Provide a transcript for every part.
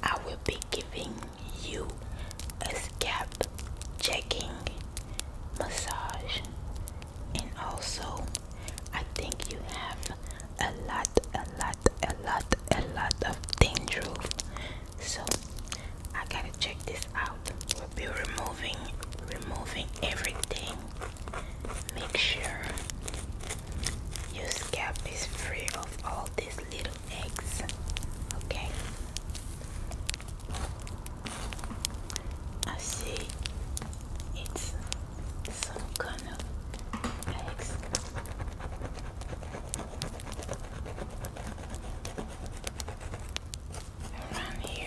I will be giving you a scalp checking massage, and also I think you have a lot, a lot, a lot, a lot of dandruff. So I gotta check this out be removing removing everything. Make sure your scalp is free of all these little eggs. Okay. I see it's some kind of eggs around here.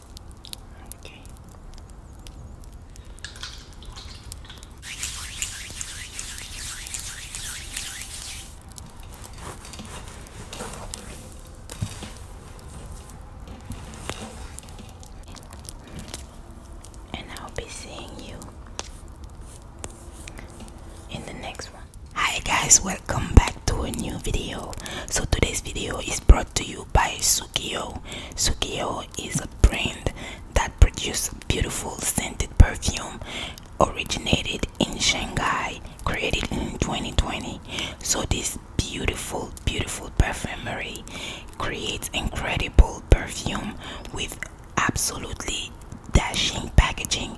And I'll be seeing you in the next one. Hi guys, welcome back to a new video so today's video is brought to you by Sukiyo Sukiyo is a brand that produces beautiful scented perfume originated in Shanghai created in 2020 so this beautiful beautiful perfumery creates incredible perfume with absolutely dashing packaging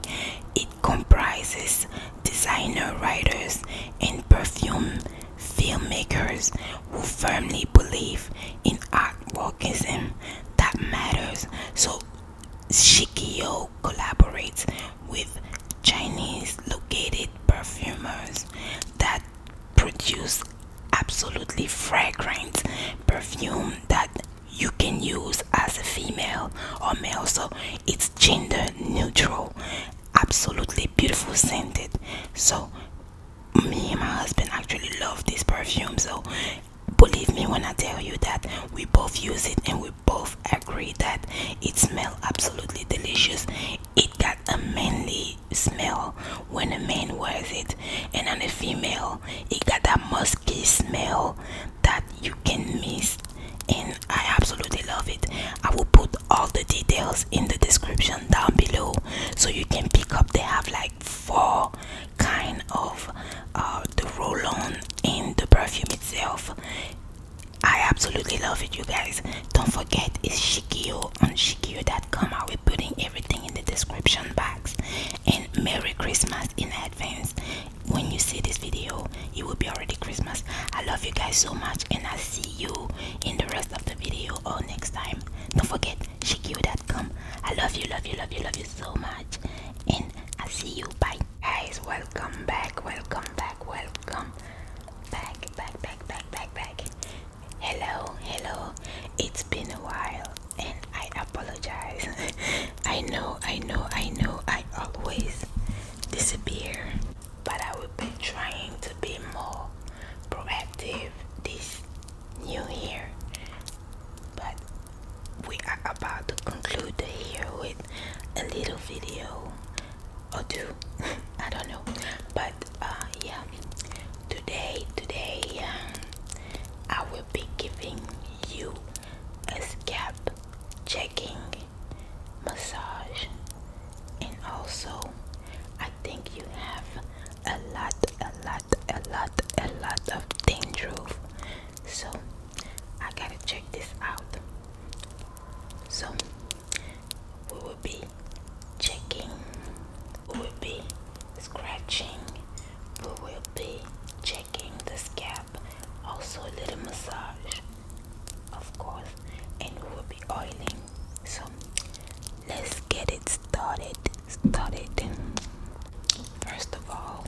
it comprises designer writers, and perfume filmmakers who firmly believe in art artworkism that matters. So Shikiyo collaborates with Chinese located perfumers that produce absolutely fragrant perfume that you can use as a female or male so it's gender neutral absolutely beautiful scented so me and my husband actually love this perfume so believe me when i tell you that we both use it and we both agree that it smell absolutely delicious it got a manly smell when a man wears it and on a female it got a musky smell that you can miss and I absolutely love it. I will put all the details in the description down below so you can pick up. They have like four kind of uh, the roll-on and the perfume itself. I absolutely love it, you guys. Don't forget, it's Shikio on Shikio.com. I will be putting everything in the description box. And Merry Christmas in advance. When you see this video, it will be already Christmas. I love you guys so much, and I'll see you in the rest of the video or next time. Don't forget, shikyu.com. I love you, love you, love you, love you so much, and I'll see you. Bye, guys. Welcome back, welcome back, welcome back, back, back, back, back. Hello, hello. It's been a while, and I apologize. I know, I know, I know. I always disappear but I will be trying to be more proactive this new year. But we are about to conclude the year with a little video or two. I don't know, but uh, yeah, today, today, um, I will be giving you a scab checking, massage, and also I think you have a lot, a lot, a lot, a lot of dandruff. So I gotta check this out. So we will be checking, we will be scratching, we will be checking this gap, also a little massage of course and we will be oiling so let's get it started started first of all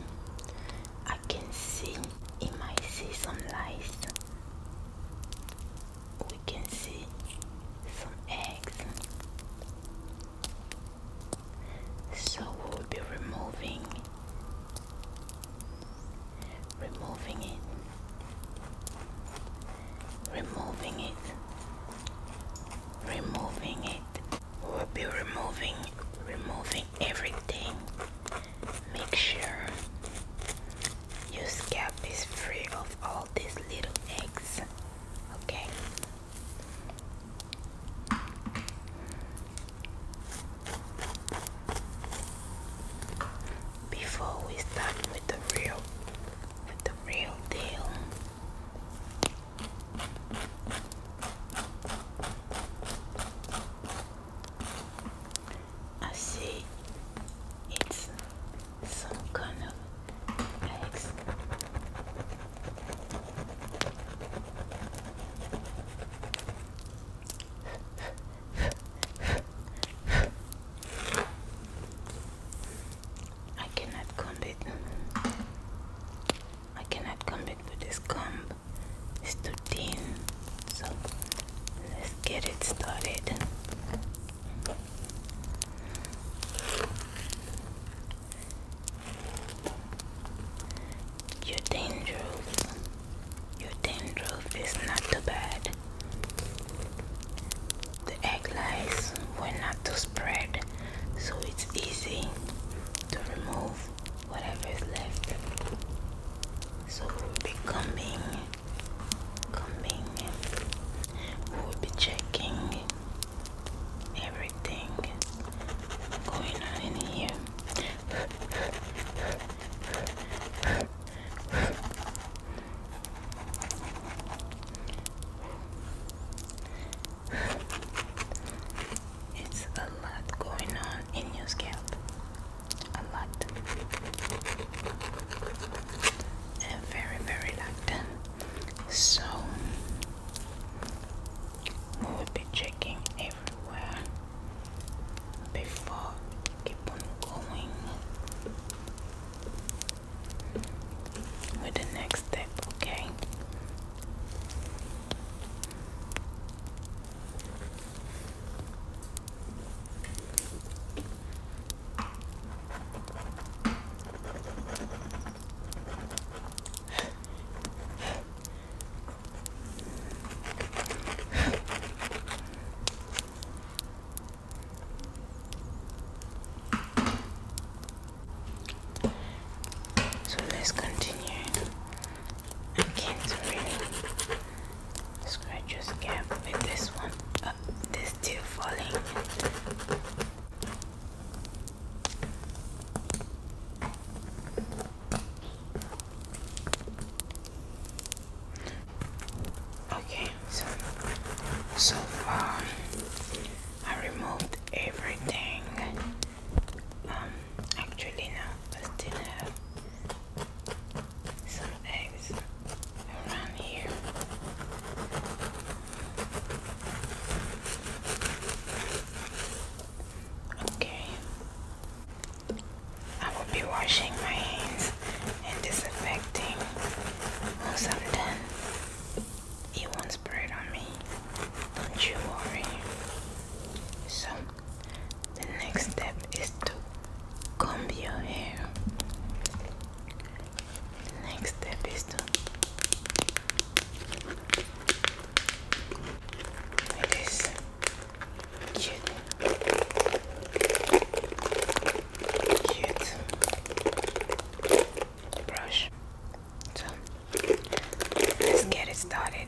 I can see you might see some lights we can see some eggs so we'll be removing removing it, removing it, removing it. We'll be removing, removing everything. Make sure your scalp is free of all these little eggs. Okay. Before we start with the real with the real deal I see it's some kind of eggs. I cannot comb it. I cannot comb it with this comb. It's too thin. So let's get it started. Your dandruff, your dandruff is not too bad. The egg lice were not too spread, so it's easy to remove whatever is left. So we'll be combing, combing. We'll be checking everything going on in here. It's a lot going on in your scalp. A lot. And very, very locked. So we will be checking it everywhere before keep on going with the next step, okay? So let's continue again to with this one. Uh, this still falling. Okay, so far I removed everything. Um, actually no, I still have some eggs around here. Okay, I will be washing my hands and disinfecting once I'm done. It won't spread on me. Don't you worry. So, the next step is to comb your hair. next step is to like Cute. Cute. Brush. So, let's get it started.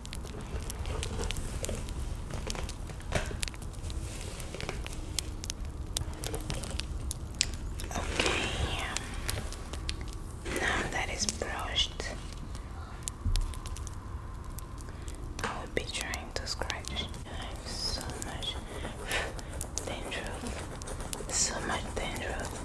Okay, um, now that is brushed, I will be trying to scratch. I have so much dandruff, so much dandruff.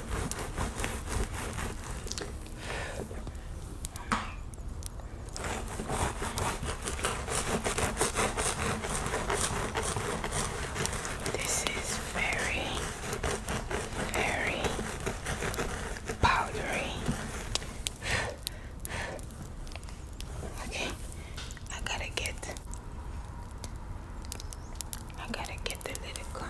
This is very, very powdery. Okay, I gotta get I gotta get the little gum.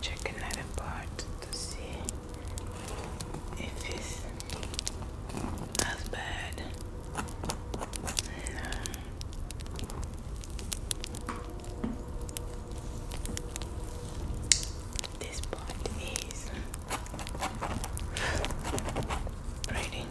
Chicken had a part to see if it's as bad. This part is braiding.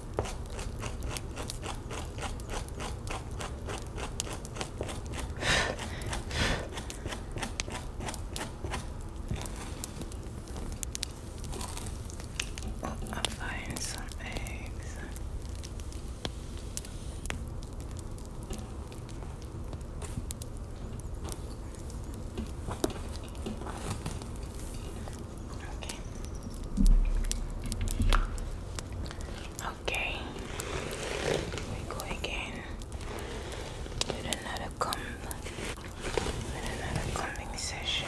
oh, I'm finding some eggs. Okay. Okay. We go again with another comb, with another combing session.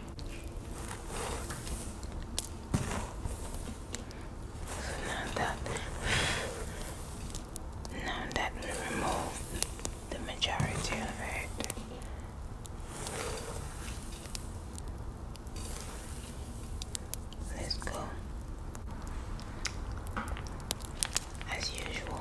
now that now that we remove the majority of it. Let's go. As usual,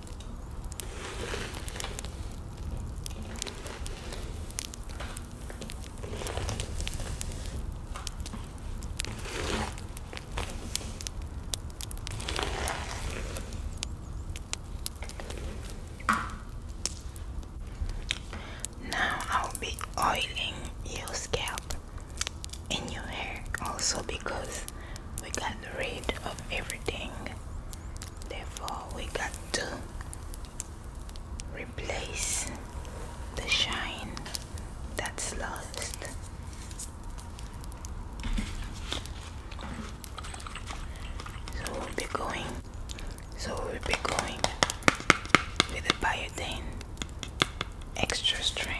Now I'll be oiling your scalp and your hair also because we got rid of everything Therefore, we got to replace the shine that's lost. So we'll be going. So we'll be going with a biotin, Extra Strength.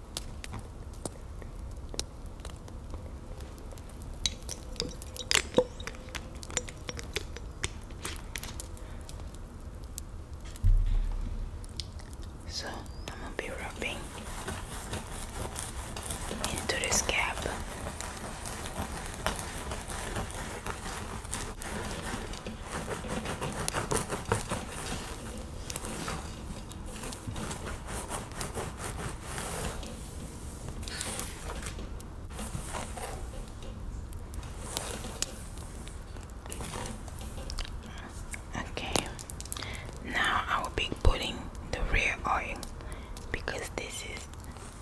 So I'm gonna be rubbing into this cap. Okay, now I will be putting the rare oil because this is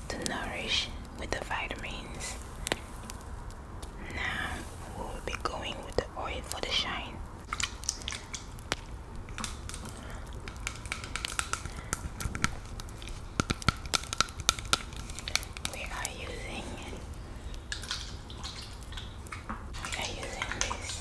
to nourish with the vitamins now we'll be going with the oil for the shine. We are using we are using this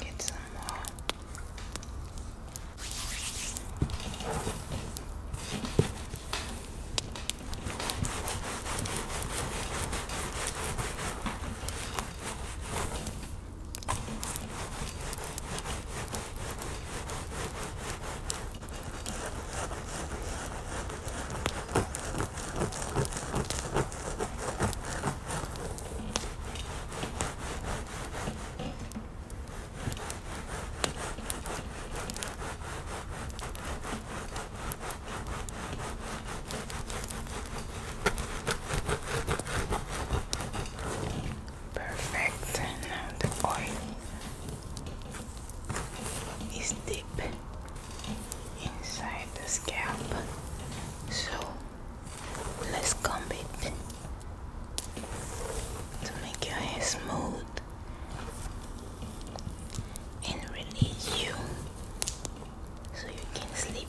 Get some more. Perfect. Now the oil is deep inside the scalp. So let's comb it to make your hair smooth and release you so you can sleep.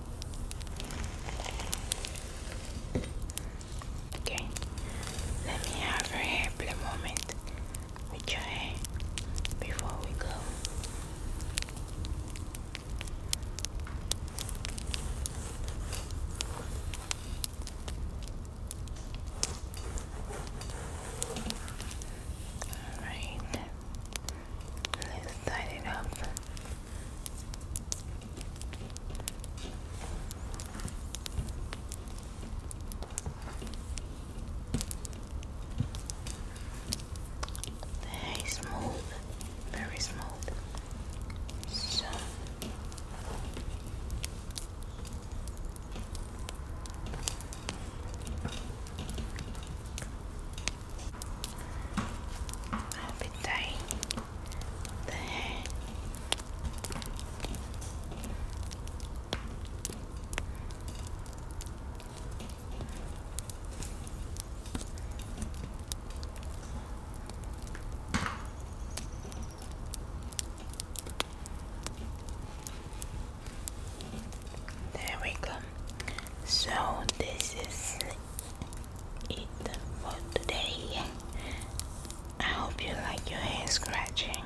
Okay, let me have a hair moment with your hair before we go. All right, let's start it up. Very smooth, very smooth. So I'll be tying There we go. So this is it for today. I hope you like your hair scratching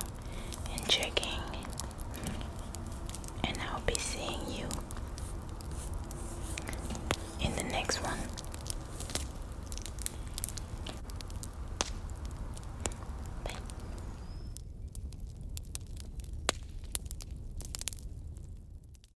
and checking, and I'll be seeing you in the next one. Bye.